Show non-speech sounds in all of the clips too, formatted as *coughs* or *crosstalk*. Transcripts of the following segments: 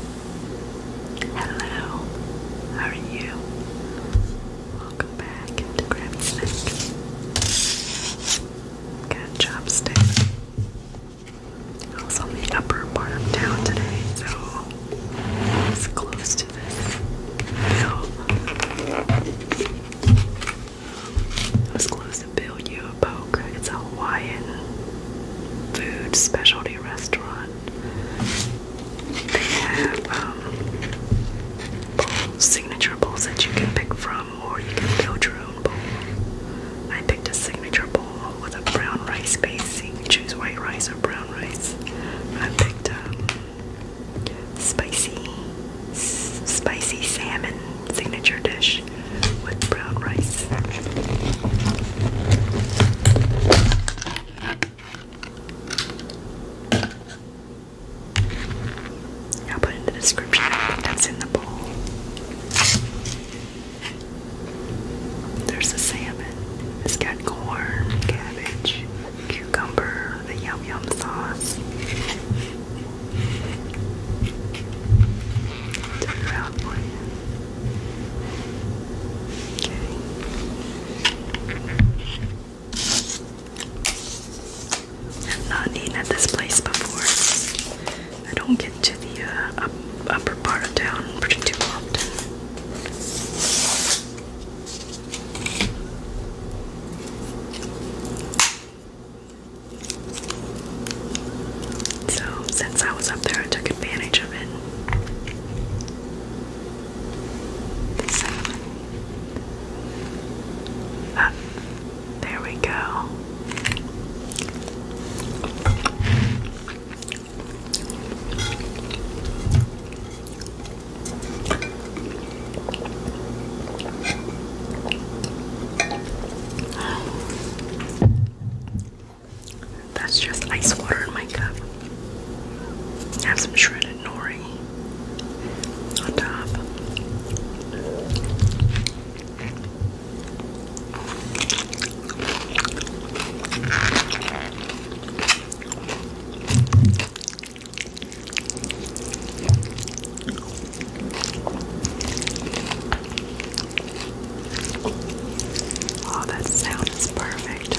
Hello, how are you? Welcome back to Grab Snack. Got chopstick. I was on the upper part of town today, so I close to this bill. I was close to Bill Yupoke. It's a Hawaiian food specialty restaurant. They have um, signature bowls that you can pick from, or you can build your own bowl. I picked a signature bowl with a brown rice base. You can choose white rice or brown rice. I picked um, spicy, spicy salmon signature dish I'll put in the description that's in the bowl. There's the salmon. It's got corn, cabbage, cucumber, the yum yum sauce. Turn around for i not eaten at this place before. I don't get to the uh, upper part of town pretty too often. So, since I was up there, I took advantage of it. Ah, there we go. That's just ice water in my cup. have some shredded nori on top. Oh, that sound is perfect.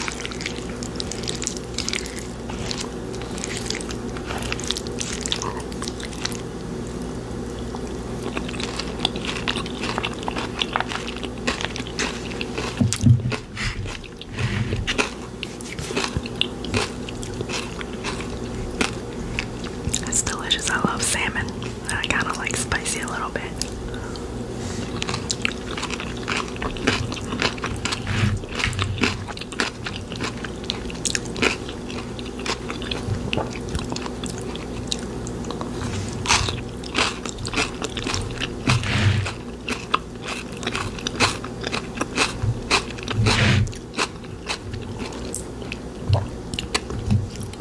That's delicious. I love salmon. I kind of like spicy a little bit.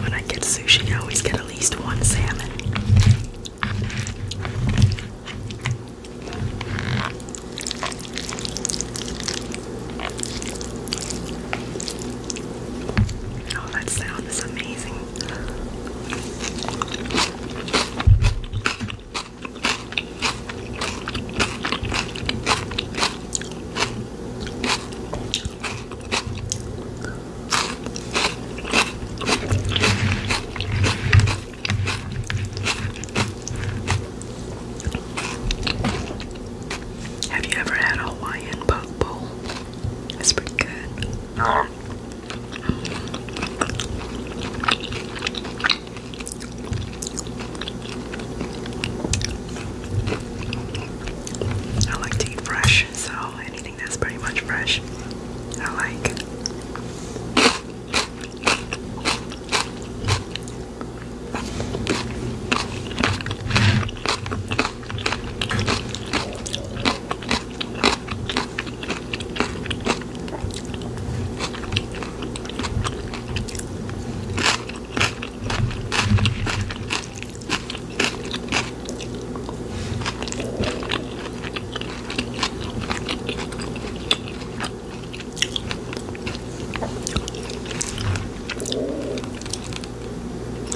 When I get sushi, I always get at least one salmon. Oh, that sound is amazing. Have you ever had Hawaiian poke bowl? It's pretty good. Um, I like to eat fresh, so anything that's pretty much fresh, I like.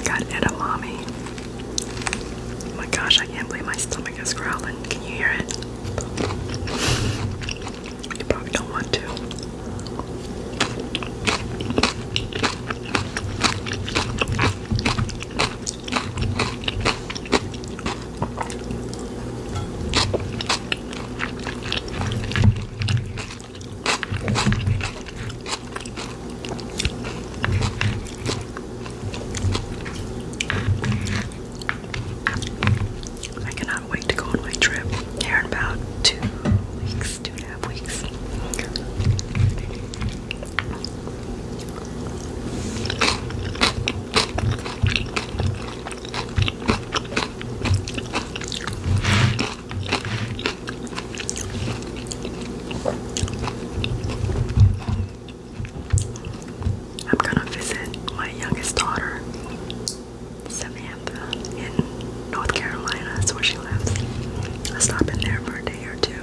Got edamame. Oh my gosh, I can't believe my stomach is growling. Can you hear it? You probably don't want to. I can cannot wait to go on my trip here about two weeks, two and a half weeks. I'm gonna visit my youngest daughter Samantha in North Carolina. That's where she lives. stop in there for a day or two.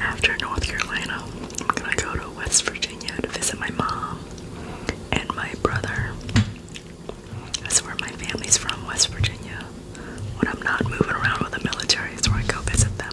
After North Carolina, I'm gonna go to West Virginia to visit my mom and my brother. That's where my family's from, West Virginia. When I'm not moving around with the military, it's where I go visit them.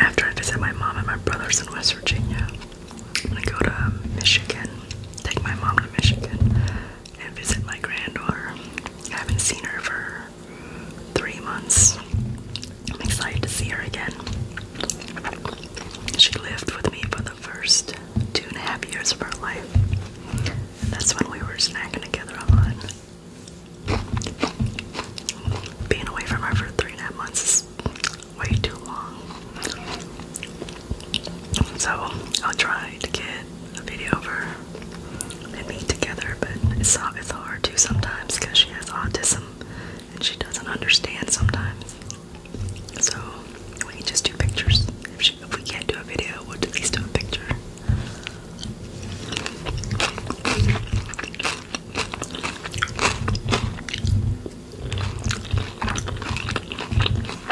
After I visit my mom and my brothers in West Virginia, I'm gonna go to Michigan, take my mom to Michigan and visit my granddaughter. I haven't seen her for three months. I'm excited to see her again. She lived with me for the first two and a half years of her life. And that's when we were snacking together a lot. Being away from her for three and a half months is way too long. So I'll try to get a video of her and meet together, but it's it's hard too sometimes because she has autism and she doesn't understand sometimes. So we can just do pictures. If, we can't do a video, we'll at least do a picture.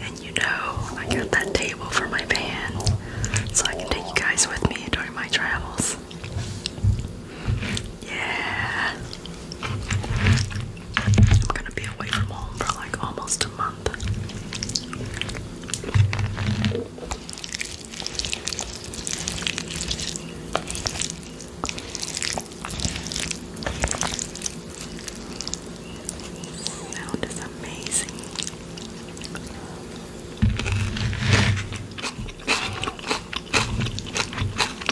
And you know, I got that table for my van so I can take you guys with me during my travels. Yeah. I'm gonna be away from home for like almost a month. sound is amazing.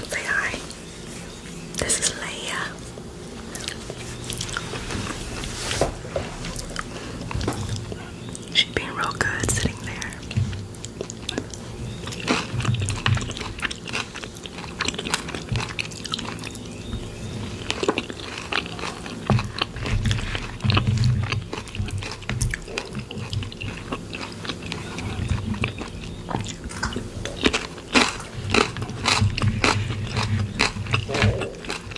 say hi. This is Leia she She's being real good sitting there.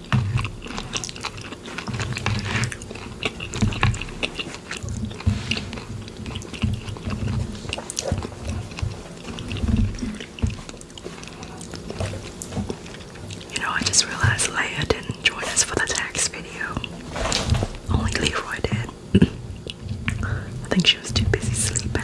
You know, I just realized Leia didn't join us for the tax video. Only Leroy did. *laughs* I think she was too busy sleeping.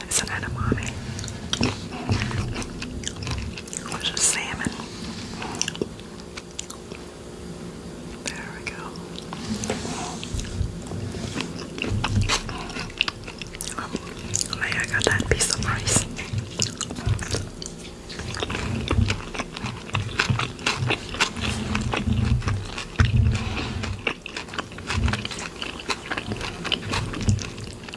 It's an edamame. Which is salmon. There we go. Oh, um, man, I that piece of rice.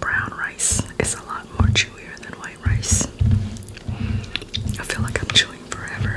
Brown rice is a lot more chewier than white rice. I feel like I'm chewing forever.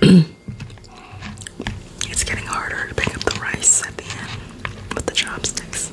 *coughs* it's getting harder to pick up the rice at the end with the chopsticks.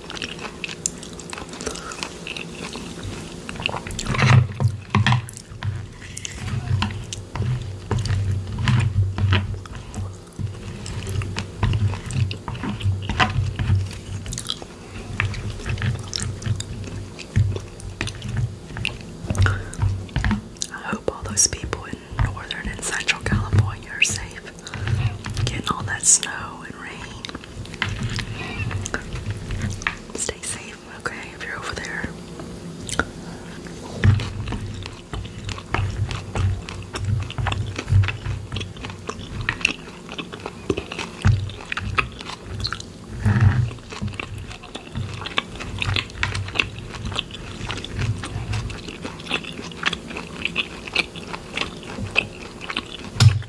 I hope all those people in northern and central California are safe, getting all that snow and rain. Stay safe, okay, if you're over there.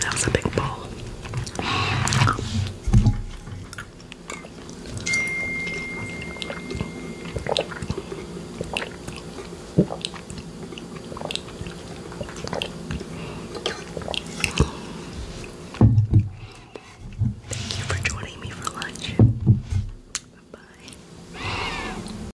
That was a big bowl. Thank you for joining me for lunch. Bye.